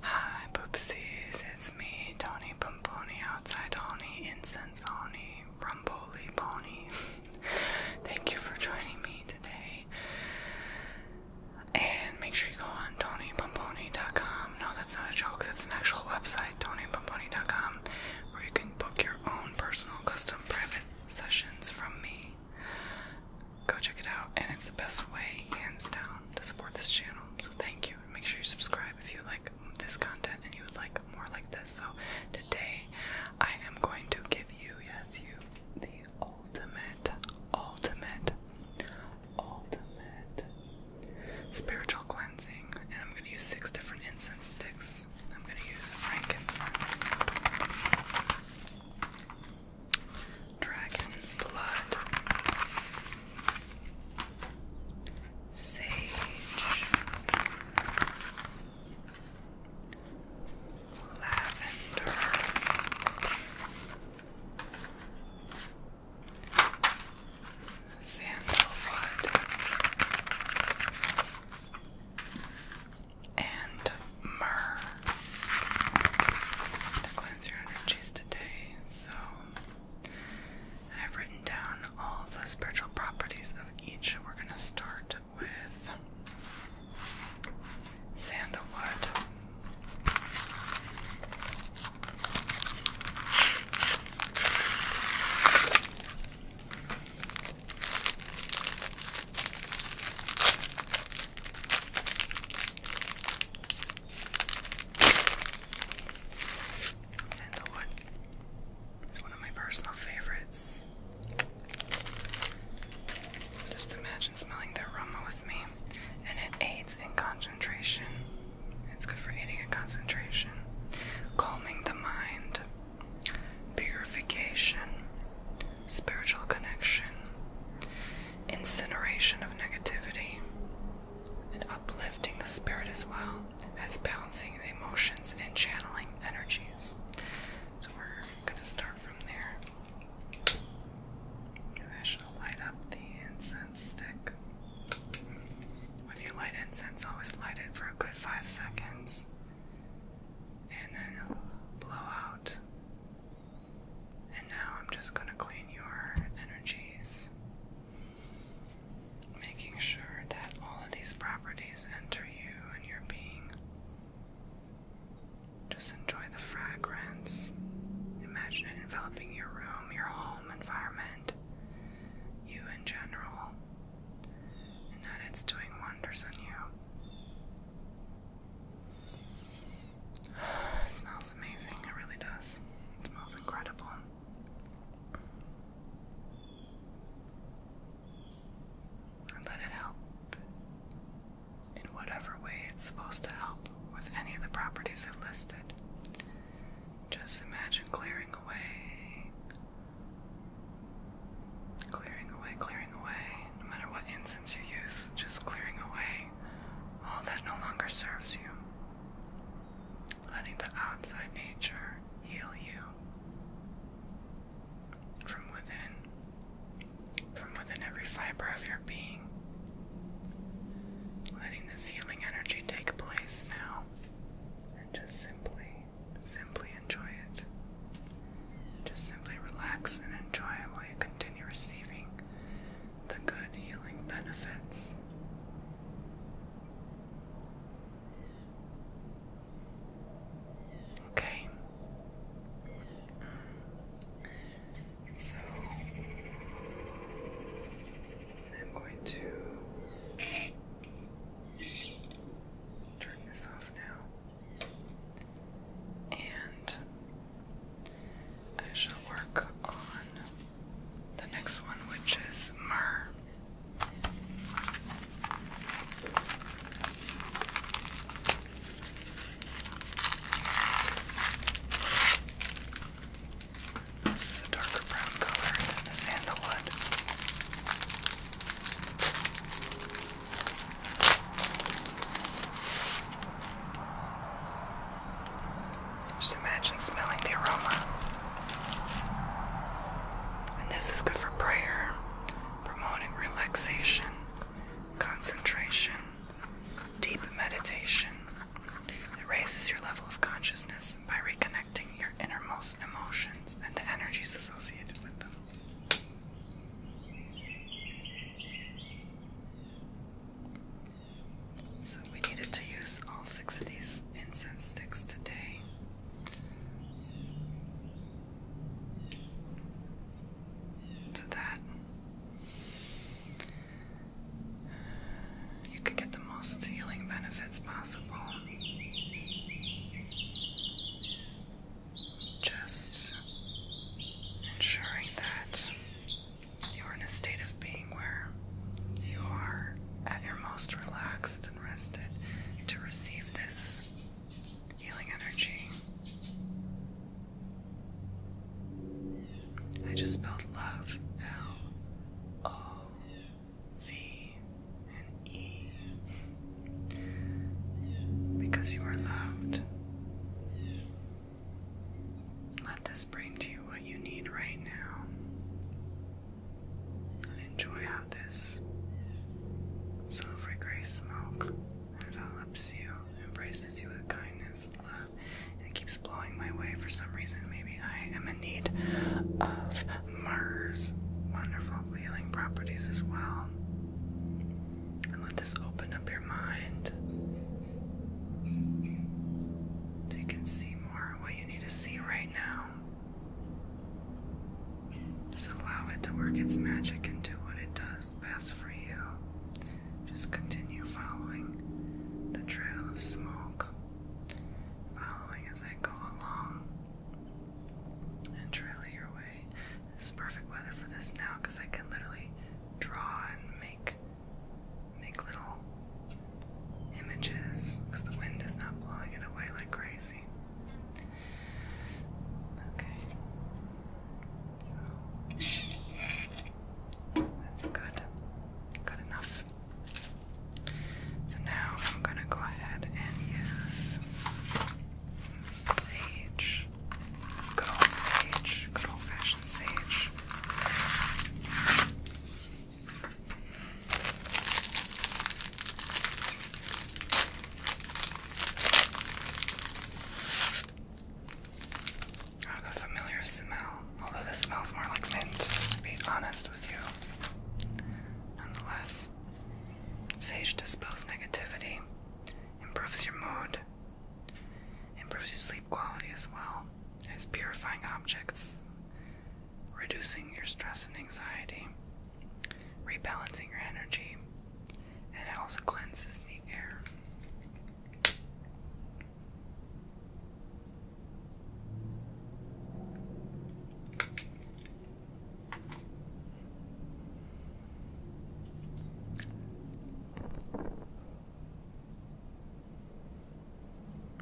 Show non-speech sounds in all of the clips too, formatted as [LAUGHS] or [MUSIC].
Hi, poopsies. It's me, Tony Pomponi, outside Oni, incense Oni, rumboli ponies. [LAUGHS] Thank you for joining me today. And make sure you go on TonyPomponi.com. No, that's not a joke. That's an actual website, TonyPomponi.com, where you can book your own personal, custom, private sessions from me. Go check it out, and it's the best way, hands down, to support this channel. So thank you. Make sure you subscribe if you like this content and you would like more like this. So today, I am going to give you, yes, you, the ultimate, ultimate, ultimate spiritual cleansing, and I'm going to use six different incense sticks. I'm going to use frankincense. Dragon's blood. Sage. Lavender. Sandalwood. And myrrh to cleanse your energies today. So I've written down all the spiritual properties of each. We're going to start with sandalwood. Sandalwood is one of my personal favorites. Just imagine smelling the aroma with me, and it aids in concentration. It's good for aiding in concentration, calming the mind, purification, spiritual connection, incineration of negativity, and uplifting the spirit as well as balancing the emotions and channeling energies. So we're going to start from there. I shall light up the incense stick. When you light incense, always light it for a good five seconds and then blow out and now I'm just going to clean your energies, making sure that all of these properties enter you and your being. Just enjoy the fragrance. Imagine it enveloping your room, your home environment, you in general, and that it's doing wonders on you it smells amazing, it really does. It smells incredible. let it help in whatever way it's supposed to help with any of the properties I've listed. Just imagine clearing away, clearing away, clearing away, no matter what incense you use, just clearing away all that no longer serves you, letting the outside nature heal you from within, from within every fiber of your being. Letting this healing energy take place now and just simply, simply enjoy it. Just simply relax and enjoy it while you continue receiving the good healing benefits. Okay. So I'm going to turn this off now. And I shall work on the next one, which is myrrh. This is a darker brown color than the sandalwood. Just imagine smelling the aroma. And this is good for prayer, promoting relaxation, concentration, deep meditation. It raises your level of consciousness by reconnecting your innermost emotions and the energies associated with them. So we needed to use all six of these incense sticks today. To that, you could get the most healing benefits possible. Just ensuring that you are in a state of being where you are at your most relaxed and rested to receive this healing energy. I just spelled love L O V and E because you are loved. Let this bring to you what you need right now. And enjoy how this silvery gray smoke envelops you, embraces you with kindness, love, and keeps blowing my way for some reason. Maybe I am in need of Mars. Wonderful healing properties as well. And let this open up your mind so you can see more what you need to see right now. Just allow it to work its magic and do what it does best for you. Just continue following the trail of smoke, following as I go along, and trail your way. This is perfect weather for this now because I can literally draw and make make little images because the wind is not blowing it away like crazy. Okay. So that's good. Good enough. So now I'm going to go ahead and use some sage. Good old sage. Good old fashioned sage. Oh, familiar smell. Although this smells more like mint, to be honest with you. Nonetheless, sage dispels negativity, improves your mood, Improves your sleep quality as well as purifying objects, reducing your stress and anxiety, rebalancing your energy, and it also cleanses the air.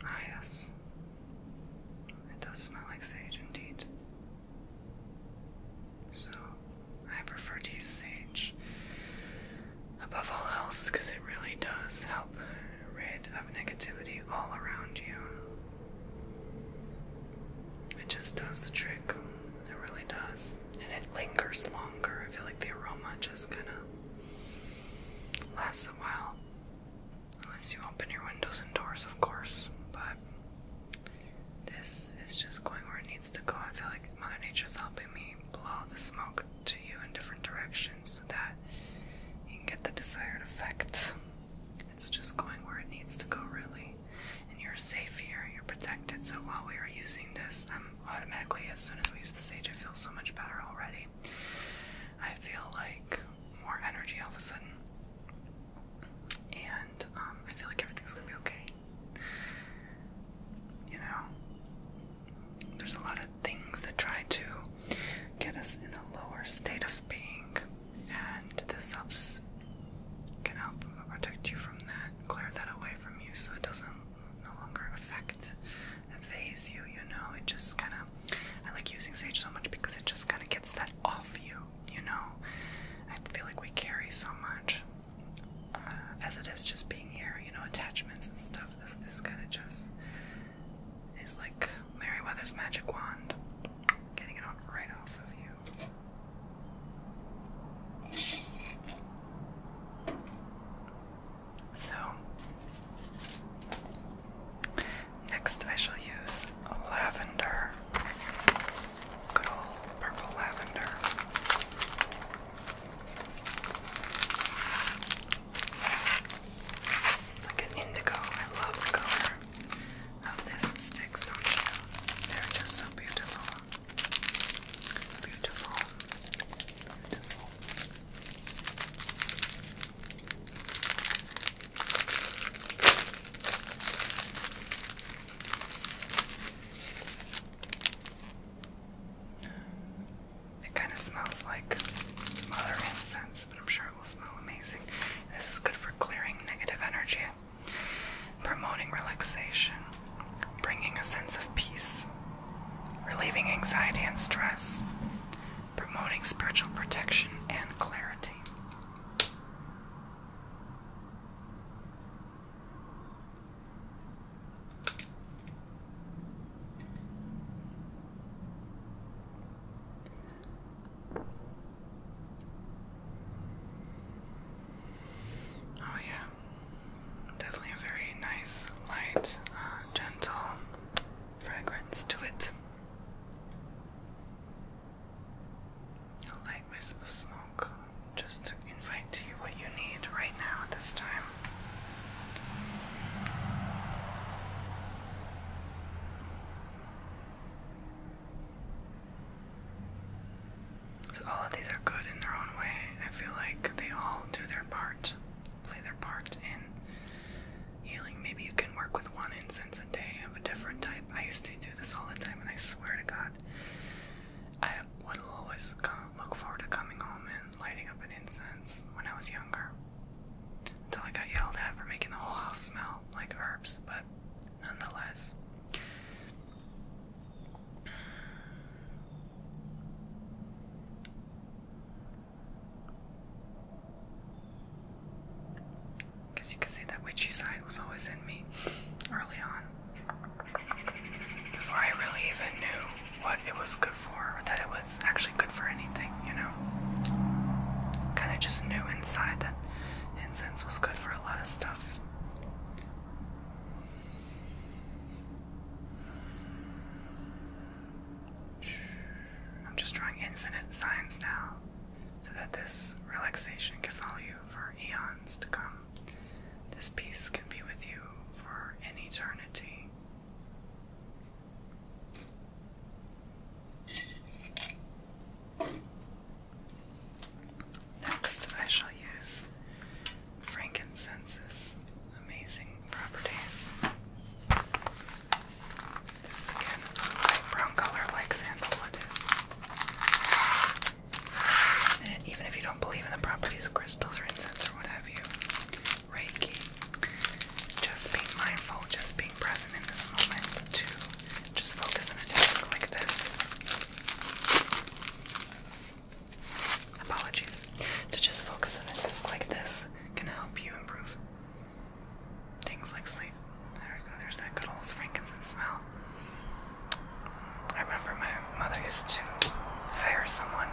Ah, yes. It does smell like sage indeed. So, I prefer to use sage above all else because it really does help rid of negativity all around you. It just does the trick. It really does. And it lingers longer. I feel like the aroma just kind of Lasts a while. Unless you open your windows and doors, of course, but this is just going where it needs to go. I feel like Mother Nature's helping me blow the smoke to you in different directions so that you can get the desired effect. It's just going where it needs to go, really. And you're safe here, you're protected. So while we are using this, I'm automatically, as soon as we use the sage, I feel so much better already. I feel like more energy all of a sudden. And um, I feel like everything's gonna be okay. You know, there's a lot of things that try to get us in a lower state of being, and the subs can help protect you from that, clear that away from you so it doesn't no longer affect phase you, you know? It just kind of, I like using sage so much because it just kind of gets that off you, you know? I feel like we carry so much uh, as it is just being here, you know, attachments and stuff. This, this kind of just is like Meriwether's magic wand, getting it off right off of you. So, next I shall use lavender. Good old purple lavender. It's like an indigo. I love the color of this sticks, don't you? They're just so beautiful. Beautiful. Beautiful. It kind of smells like mother incense, but I'm sure it will smell amazing. This is good for clearing negative energy, promoting relaxation, bringing a sense of peace, relieving anxiety and stress, promoting spiritual protection and clarity. Oh, yeah, definitely a very nice, light, uh, gentle fragrance to it. A light wisp of smoke just to invite to you what you need right now at this time. So, all of these are good in their own way. I feel like they all do their part, play their part in healing. Maybe you can work with one incense a day of a different type. I used to do this all the time, and I swear to God, I would always look forward to coming home and lighting up an incense when I was younger. Until I got yelled at for making the whole house smell like herbs, but nonetheless. Guess you could say that witchy side was always in me early on. Before I really even knew what it was good for, or that it was actually good for anything, you know? Kind of just knew inside that incense was good for a lot of stuff. I'm just drawing infinite signs now so that this relaxation can follow you for eons to come. This peace can be with you for an eternity. Next, I shall use frankincenses amazing properties. This is again brown color like sandalwood is. And even if you don't believe in the properties of crystals or incense or what have you, Reiki, just being mindful, just being present in this moment to just focus on a task like this. Apologies. To just focus on a task like this can help you improve things like sleep. There we go, there's that good old frankincense smell. I remember my mother used to hire someone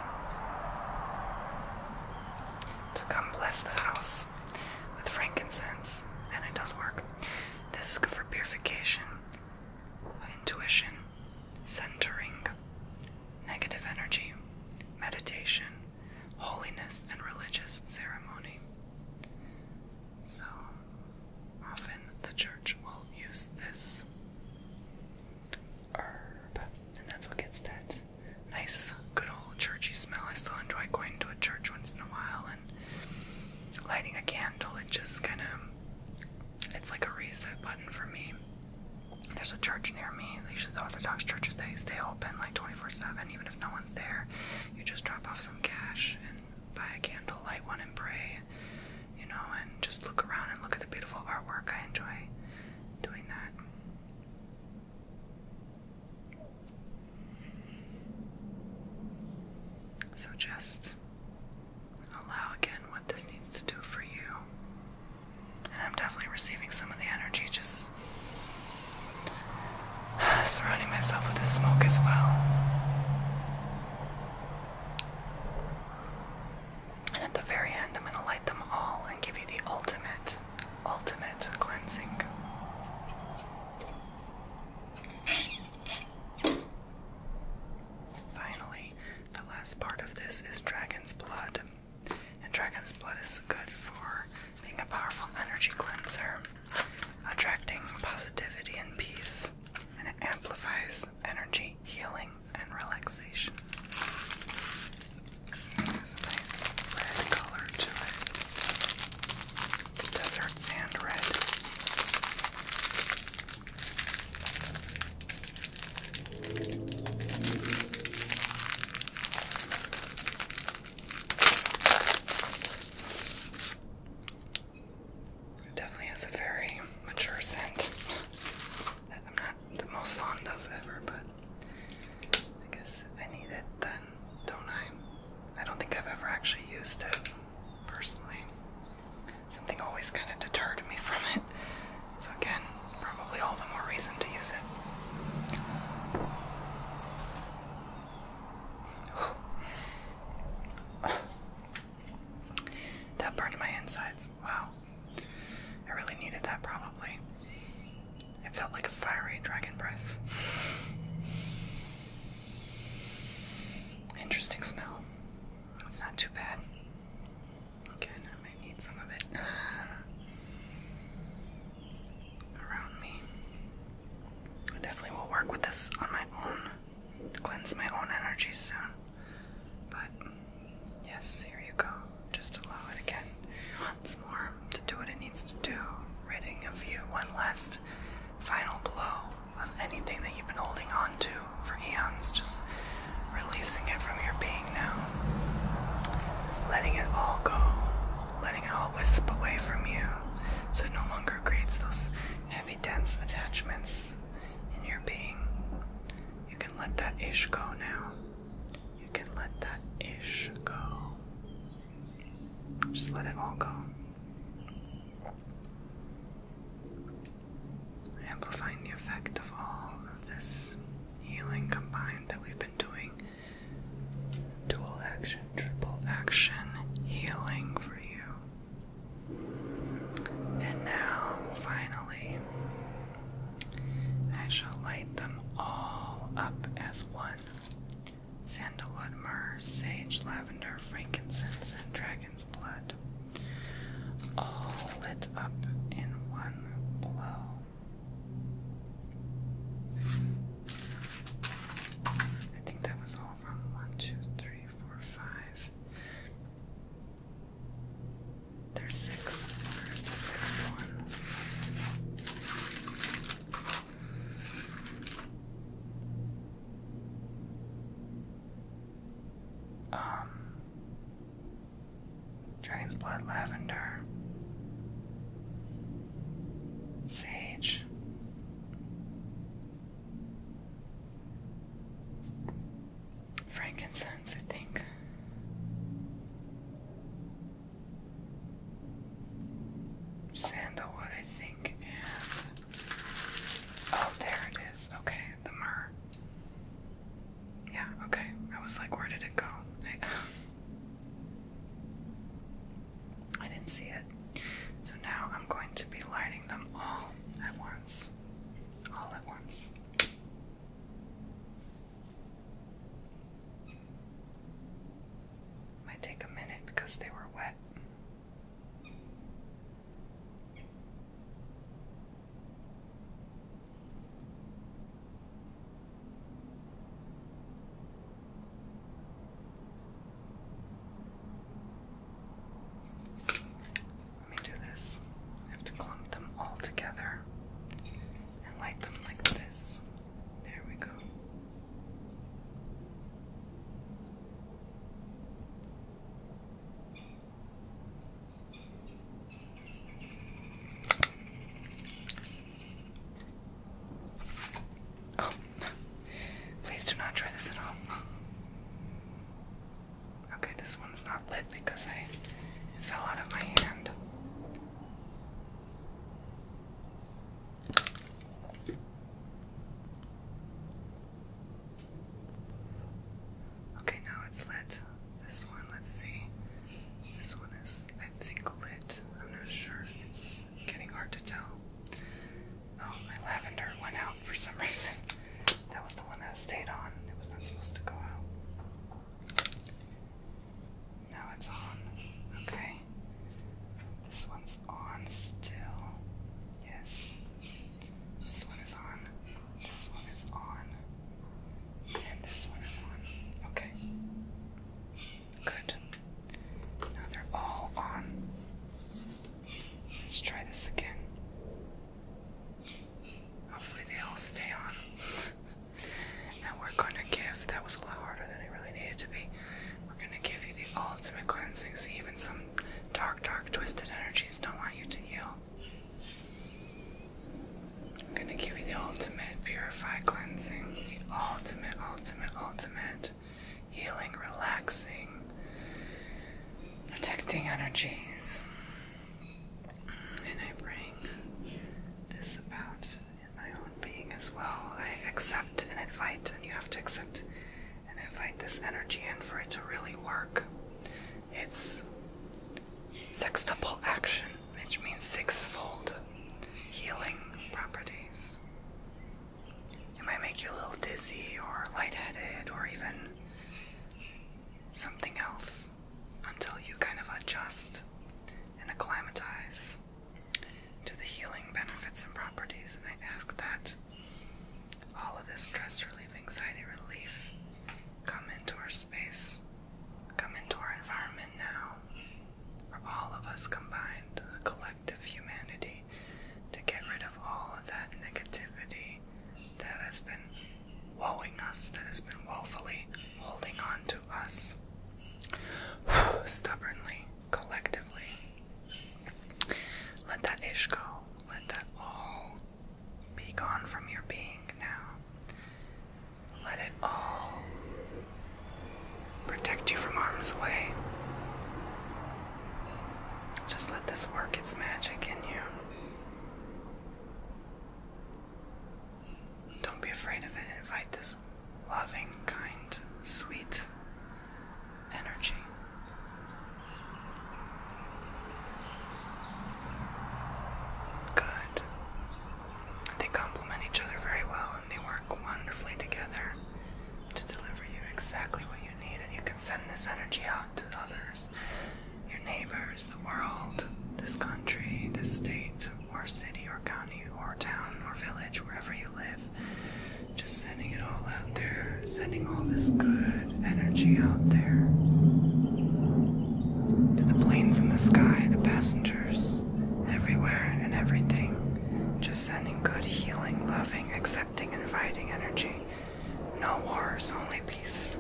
to come bless the house with frankincense, and it does work. This is good for purification, intuition, centering, negative energy, meditation, holiness, and religious ceremony. So often the church will use this herb, and that's what gets that nice, good old churchy smell. I still enjoy going to a church once in a while and lighting a candle. It just kind of it's like a reset button for me. There's a church near me. Usually the Orthodox churches they stay open like 24/7, even if no one's there. You just drop off some cash and buy a candle, light one, and pray. You know, and just look around and look at the beautiful artwork. I enjoy doing that. So just allow again what this needs to do for you. And I'm definitely receiving some of the energy just [SIGHS] surrounding myself with the smoke as well. And at the very end, I'm going to light them all and give you the ultimate, ultimate cleansing. Finally, the last part of this is dragon's blood. And dragon's blood is good for being a powerful energy cleanser, attracting positivity and peace, and it amplifies energy, healing, and relaxation. This has a nice red color to it. Desert sand red. It definitely has a very mature scent that I'm not the most fond of ever, but I guess I need it then, don't I? I don't think I've ever actually used it personally. Something always kind of deterred me from it. So, again, probably all the more reason to use it. [SIGHS] that burned my insides. Wow. I really needed that, probably. It felt like a fiery dragon breath. [SIGHS] Interesting smell. It's not too bad. Again, I might need some of it. [LAUGHS] around me. I definitely will work with this on my own, cleanse my own energy soon. But yes, here you go. Just allow it again once more to do what it needs to do, ridding of you one last final blow of anything that you've been holding on to for eons, just releasing it from your being now. Letting it all go, letting it all wisp away from you so it no longer creates those heavy, dense attachments in your being. You can let that ish go now. You can let that ish go. Just let it all go. Amplifying the effect of all of this healing combined that we've been doing Dual action, triple action healing for you. And now, finally, I shall light them all up as one sandalwood, myrrh, sage, lavender, frankincense, and dragon's blood. All lit up in one blow. I think that was all from one, two, three, four, five. There's six. There's one. Um Dragon's Blood Lavender, Sage, Frankincense, I think. Sandalwood, I think, oh, there it is. Okay, the myrrh. Yeah, okay. I was like, where did it go? [LAUGHS] I didn't see it. So now I'm going to be lighting them all at once. All at once. Might take a minute because they were wet. Let me do this. I have to clump them all together and light them like this. There we go. Oh. please do not try this at home. Okay, this one's not lit because I fell out of my hand. Okay, now it's lit. This one, let's see. This one is I think, lit. I'm not sure. It's getting hard to tell. Oh, my lavender went out for some [LAUGHS] reason. That was the one that stayed on. It was not supposed to go out. Now it's on. Okay. This one's on still. Yes. This one is on. This one is on. And this one is on. Okay. Good. Now they're all on. Let's try this again. Hopefully, they all stay on. and [LAUGHS] we're gonna give that was a lot harder than it really needed to be. We're gonna give you the ultimate cleansing. even some dark, dark, twisted energies don't want you to heal. I'm gonna give you the ultimate purify cleansing, the ultimate, ultimate ultimate, healing, relaxing, protecting energies. And I bring this about in my own being as well. I accept and invite, and you have to accept and invite this energy in for it to really work. It's sextuple action which means sixfold healing properties. It might make you a little dizzy or lightheaded or even something else until you kind of adjust and acclimatize to the healing benefits and properties. And I ask that all of this stress relief, anxiety relief come into our space, come into our environment now or all of us combined, the collective humanity, to get rid of all of that negativity that has been wowing us, that has been woefully holding on to us stubbornly, collectively. Let that ish go. Let that all be gone from your being now. Let it all protect you from harm's way. Just let this work its magic in you. Don't be afraid of it. Invite this loving, kind, sweet energy. Good. They complement each other very well they work wonderfully together to deliver you exactly what you need, and you can send this energy out to others your neighbors, the world, this country, this state, or city, or county, or town, or village, wherever you live. Just sending it all out there, sending all this good energy out there. To the planes in the sky, the passengers, everywhere and everything. Just sending good, healing, loving, accepting, inviting energy. No wars, only peace.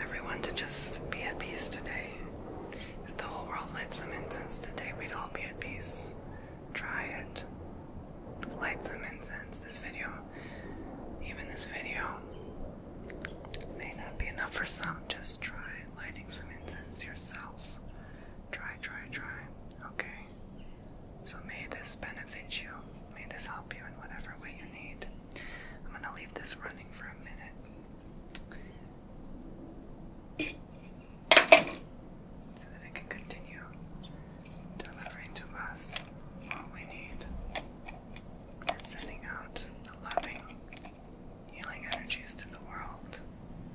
Everyone to just be at peace today. If the whole world lit some incense today, we'd all be at peace. Try it. Light some incense. This video, even this video, may not be enough for some. Just try lighting some incense yourself. Try, try, try. Okay. So may this benefit you. May this help you in whatever way you need. I'm gonna leave this running for a minute. So that I can continue delivering to us what we need and sending out the loving, healing energies to the world.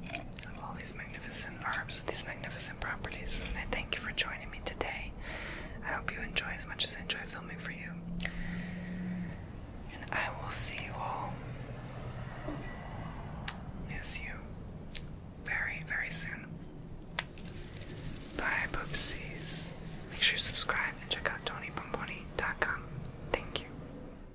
Of all these magnificent herbs with these magnificent properties. And I thank you for joining me today. I hope you enjoy as much as I enjoy filming for you. And I will see you all. Yes, you. Very, very soon. Bye, poopsies. Make sure you subscribe and check out TonyPomponi.com. Thank you.